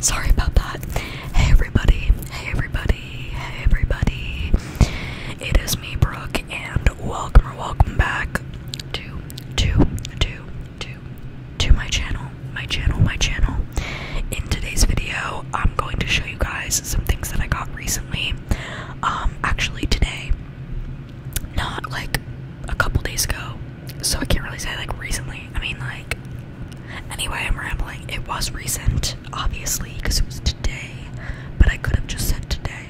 Sorry about that. Hey everybody, hey everybody, hey everybody. It is me, Brooke, and welcome or welcome back to to to to to my channel, my channel, my channel. In today's video, I'm going to show you guys some things that I got recently um actually today not like a couple days ago so i can't really say like recently i mean like anyway i'm rambling it was recent obviously because it was today but i could have just said today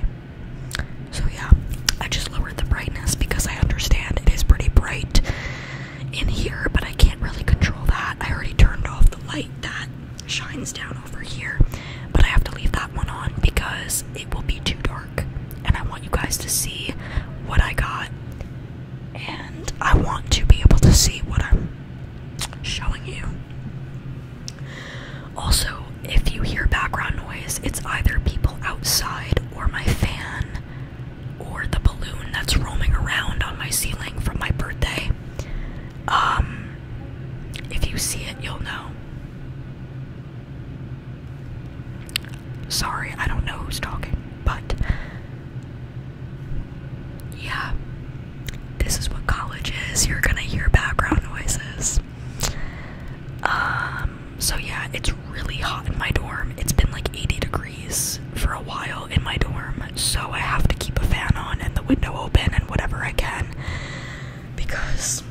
so yeah i just lowered the brightness because i understand it is pretty bright in here but i can't really control that i already turned off the light that shines down over here, but I have to leave that one on because it will be too dark, and I want you guys to see what I got, and I want to be able to see what I'm showing you. Also, if you hear background noise, it's either people outside or my fan or the balloon that's roaming around on my ceiling from my birthday. Um, if you see it, you'll know. Sorry, I don't know who's talking, but yeah, this is what college is. You're gonna hear background noises. Um, so yeah, it's really hot in my dorm. It's been like 80 degrees for a while in my dorm so I have to keep a fan on and the window open and whatever I can because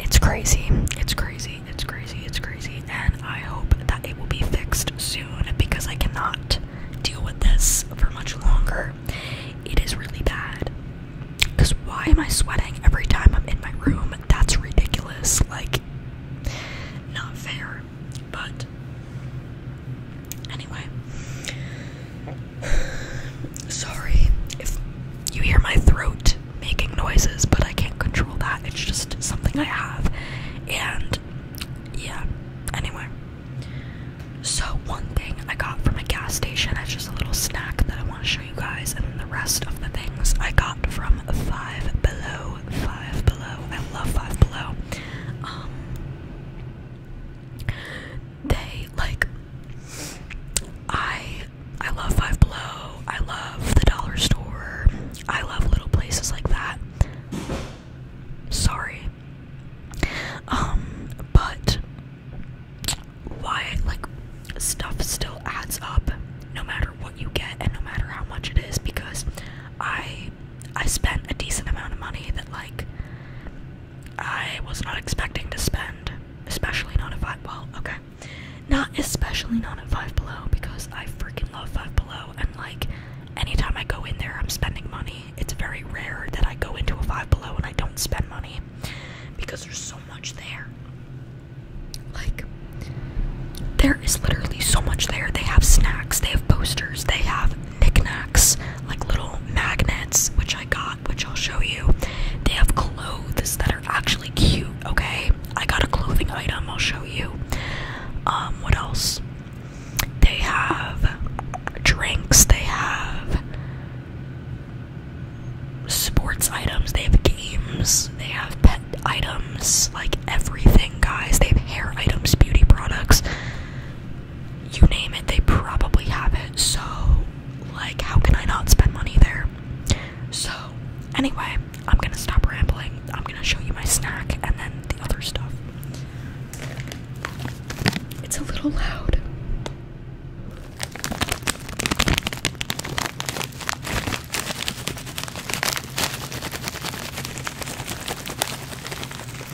it's crazy. It's crazy. It's crazy. It's crazy. And I hope that it will be fixed soon because I cannot deal with this for much longer. It is really bad. Because why am I sweating every time I'm in my room? That's ridiculous. Like, not fair. But Anyway, sorry if you hear my throat making noises, but I can't control that. It's just something I have. And yeah, anyway. So, one thing I got from a gas station is just a little snack that I want to show you guys, and the rest of the things I got from Five Below. Five Below. I love Five Below. Um, they like I I love Five Below, I love the dollar store, I love little places like that. Sorry. Um, but why like stuff still adds up no matter what you get and no matter how much it is because I I spent a decent amount of money that like I was not expecting to spend, especially not at Five Well, okay. Not especially not at Five Below because I freaking love Five Below and like anytime I go in there I'm spending money. It's very rare that I go into a Five Below and I don't spend money because there's so much there. Like there is literally so much there. They have snacks, they have posters, they have knickknacks, like little magnets, which I got, which I'll show you. They have clothes that are actually cute, okay? I got a clothing item, I'll show you. Um, what else? They have drinks, they have sports items, they have games, they have pet items, like everything, guys. They have hair items, beauty products you name it, they probably have it. So, like, how can I not spend money there? So, anyway, I'm gonna stop rambling. I'm gonna show you my snack and then the other stuff. It's a little loud.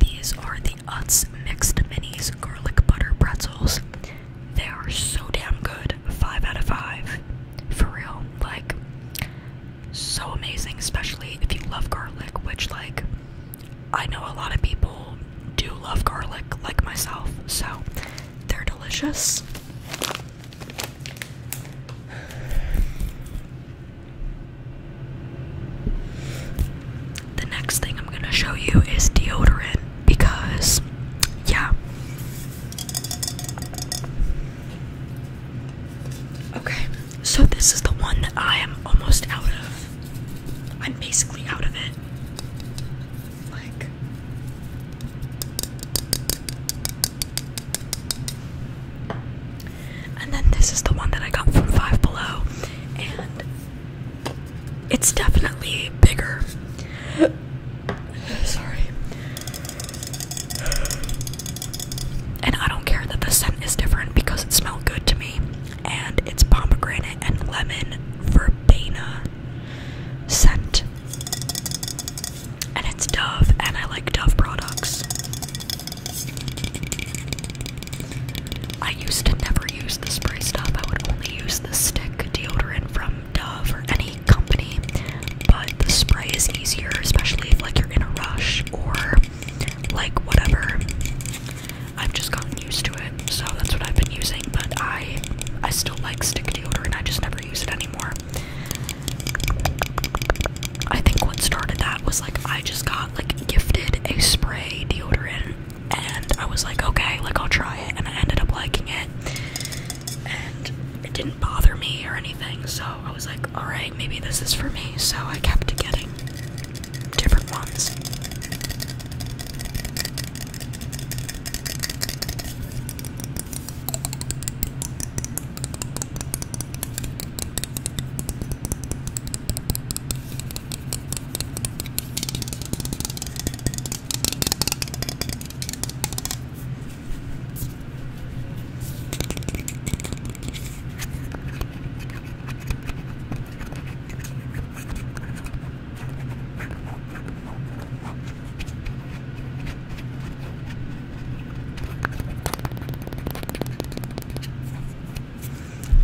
These are the Utz Mixed Minis Garlic Butter Pretzels. They are so damn good. 5 out of 5. For real. Like, so amazing, especially if you love garlic, which, like, I know a lot of people do love garlic, like myself, so they're delicious. The next thing I'm gonna show you is deodorant because, yeah. Okay, so this is the one that I am almost out of. I'm basically out of it. Like, and then this is the one that I got from Five Below, and it's definitely bigger. Sorry. And I don't care that the scent is different because it smells good to me. And it's pomegranate and lemon verbena scent. And it's Dove, and I like Dove products. I used to never use the spray stuff, I would only use the stick deodorant from Dove or any company, but the spray is easier, especially if like you're in a rush or like whatever. I've just gotten used to it, so that's what I've been using. But I, I still like stick deodorant. I just never use it anymore. I think what started that was like I just got like gifted a spray deodorant, and I was like, okay, like I'll try it, and I ended up liking it and it didn't bother me or anything. So I was like, all right, maybe this is for me. So I kept getting different ones.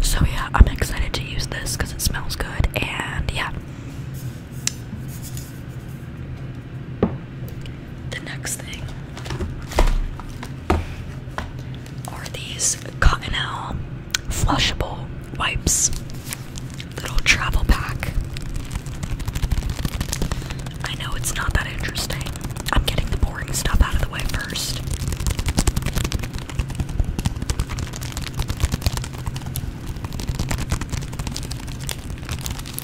So, yeah, I'm excited to use this because it smells good, and yeah, the next thing are these Cottonelle flushable wipes. Little travel pack. I know it's not that interesting. I'm getting the boring stuff out of the way first.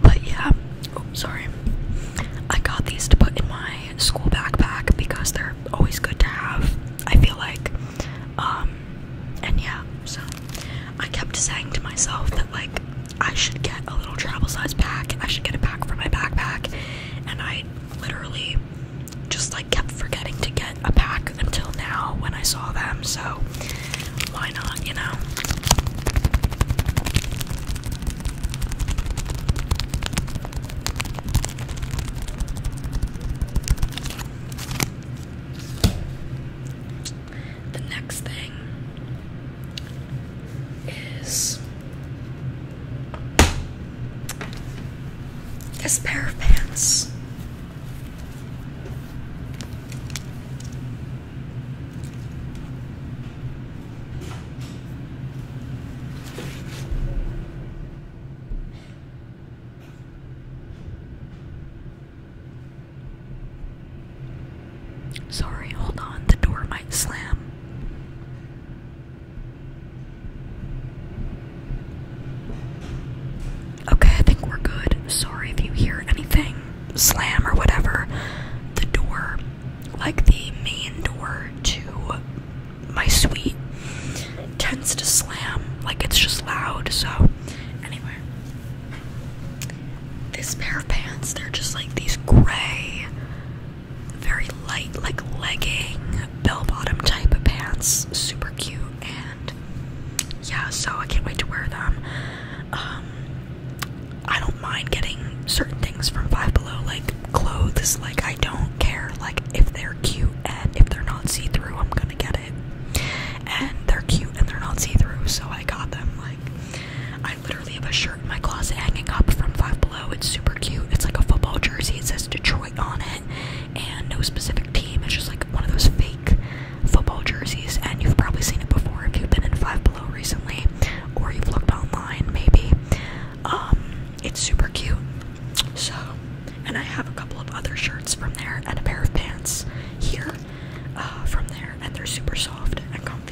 But yeah, oh, sorry. I got these to put in my school backpack because they're always good to have, I feel like. Um, and yeah, so I kept saying to myself that, like, I should get a little travel size pack. I should get a pack for my backpack. And I literally just, like, kept forgetting to get a pack until now when I saw them. So why not, you know? The next thing is this pair of pants. Sorry, hold on, the door might slam. Okay, I think we're good. Sorry if you hear anything slam or whatever. The door, like the main door to my suite, tends to slam. Like it's just loud. So, anyway, this pair of pants, they're just like these gray, very light, like legging, bell bottom type of pants. Super cute. And yeah, so I can't wait to wear them. Um, I don't mind getting certain things from Five Below, like clothes. Like I don't care. Like if they're cute and if they're not see-through, I'm gonna get it. And they're cute and they're not see-through, so I got them. Like I literally have a shirt in my closet hanging up from Five Below. It's super cute. It's like a football jersey. It says Detroit on it, and no specific team. It's just like one of those fake football jerseys, and you've probably seen it before if you've been in Five Below recently, or you've looked online maybe. Um, it's super cute. So, and I have a couple of other shirts from there and a pair of pants here uh, from there, and they're super soft and comfy.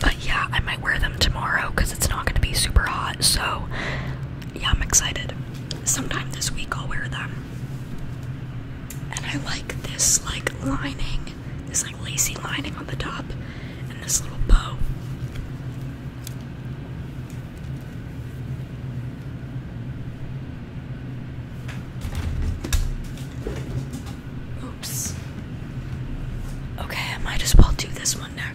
But yeah, I might wear them tomorrow because it's not going to be super hot. So yeah, I'm excited sometime this week I'll wear them. And I like this like lining, this like lacy lining on the top, and this little bow. Oops. Okay, I might as well do this one now.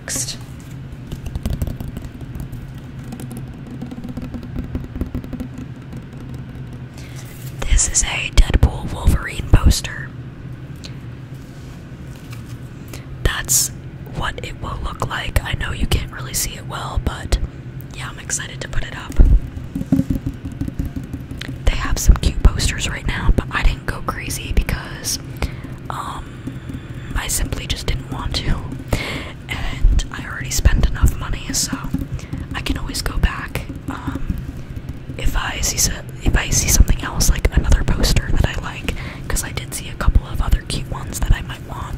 This is a Deadpool Wolverine poster. That's what it will look like. I know you can't really see it well, but yeah, I'm excited to put it up. They have some cute posters right now, but I didn't go crazy because um, um, I simply just didn't want to, and I already spent enough money, so I can always go back. Um, if I see if I see something else like another poster that I like, because I did see a couple of other cute ones that I might want.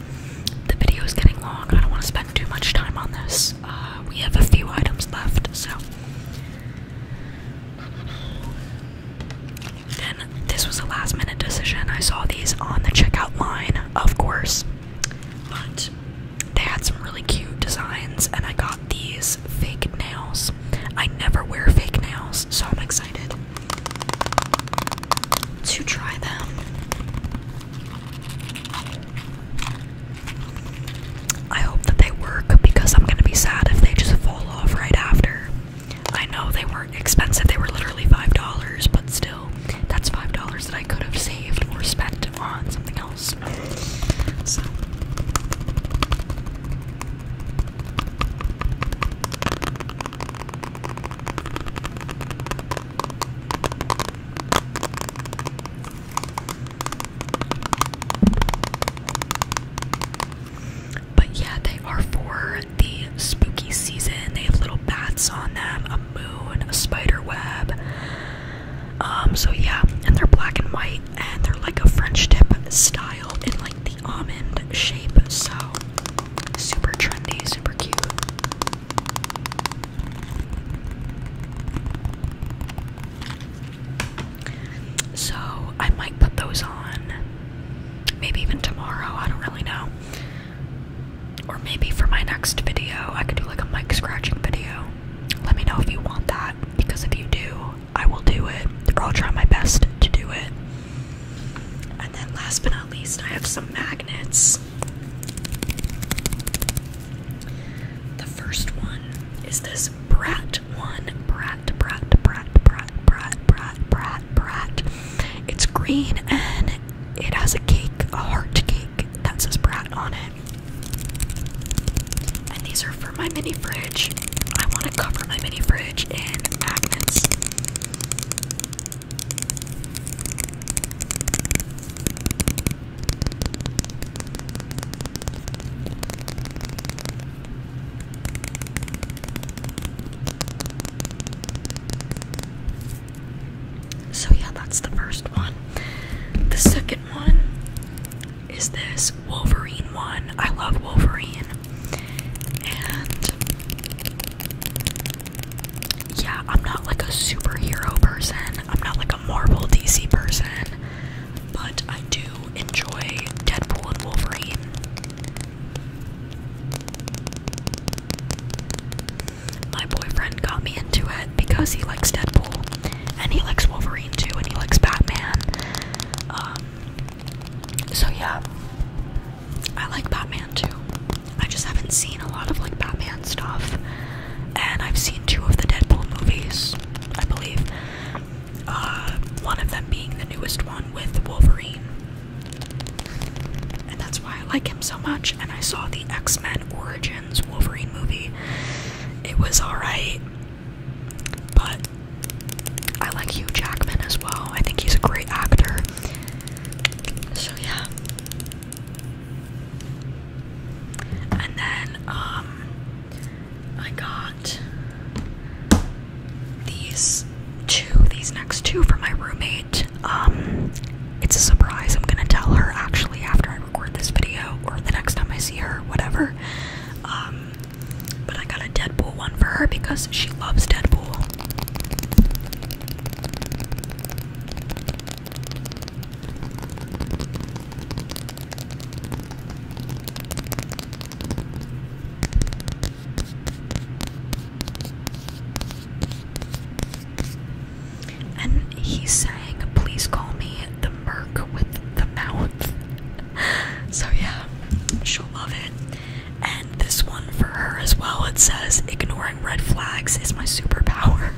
the video is getting long. I don't want to spend too much time on this. Uh, we have a few items left, so. And this was a last minute decision. I saw these on the checkout line, of course. But they had some really cute designs, and I got these fake nails. I never wear fake nails, so I'm excited to try them. I hope that they work because I'm gonna be sad if they just fall off right after. I know they weren't expensive, they were literally $5, but still, that's $5 that I could have saved or spent on something else. So. But yeah, they are for the spooky season. They have little bats on them, a moon, a spider web. Um, so yeah, and they're black and white, and they're like a French tip style and like the almond shape. So super trendy, super cute. So I might put those on maybe even tomorrow, I don't really know. Or maybe for my next video, I could do like a mic scratching video. Let me know if you want that because if you do, I will do it, or try my best to do it. And then last but not least, I have some magnets. The first one is this brat one. Brat, brat, brat, brat, brat, brat, brat, brat. It's green and it has a cake, a heart cake that says brat on it. And these are for my mini fridge. I want to cover my mini fridge in magnets. So, yeah, that's the first one. The second one is this Wolverine one. I love Wolverine. And yeah, I'm not like a superhero person. I'm not like a Marvel DC person. But I do enjoy Deadpool and Wolverine. My boyfriend got me into it because he likes Deadpool and he likes Wolverine too and he likes Batman. Um, so yeah, I like Batman too. I just haven't seen a lot of like Batman stuff, and I've seen two of the Deadpool movies, I believe. Uh, one of them being the newest one with Wolverine, and that's why I like him so much. And I saw the X Men Origins Wolverine movie. It was alright, but I like Hugh Jackman as well. I think he's a great actor. So yeah. And then um I got these two, these next two from my roommate. Um it's a surprise. I'm gonna tell her actually after I record this video or the next time I see her, whatever. Um but I got a Deadpool one for her because she loves Deadpool. And he sang, Please call me the Merc with the Mouth. so, yeah, she'll love it. And this one for her as well. It says, Ignoring red flags is my superpower.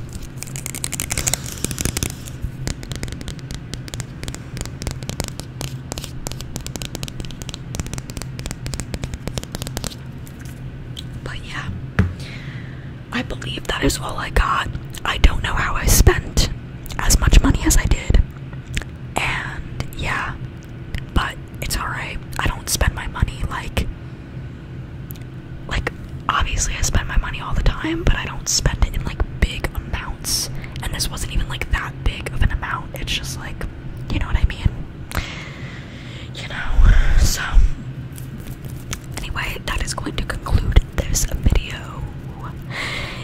But yeah, I believe that is all I got. I don't know how I spent as much money as I did. And yeah, but it's alright. I don't spend my money like like obviously I spend my money all the time, but I don't spend it in like big amounts. And this wasn't even like that big of an amount. It's just like, you know what I mean? You know. So anyway, that is going to conclude this video.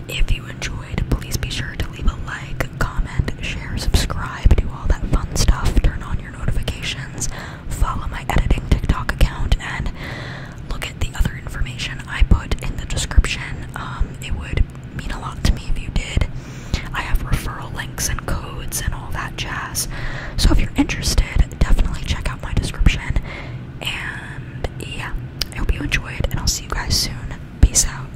If you enjoyed please be sure to leave a like, comment, share, subscribe, do all that fun stuff, turn on your notifications, follow my editing TikTok account, and look at the other information I put in the description. Um, it would mean a lot to me if you did. I have referral links and codes and all that jazz. So if you're interested, definitely check out my description. And yeah, I hope you enjoyed, and I'll see you guys soon. Peace out.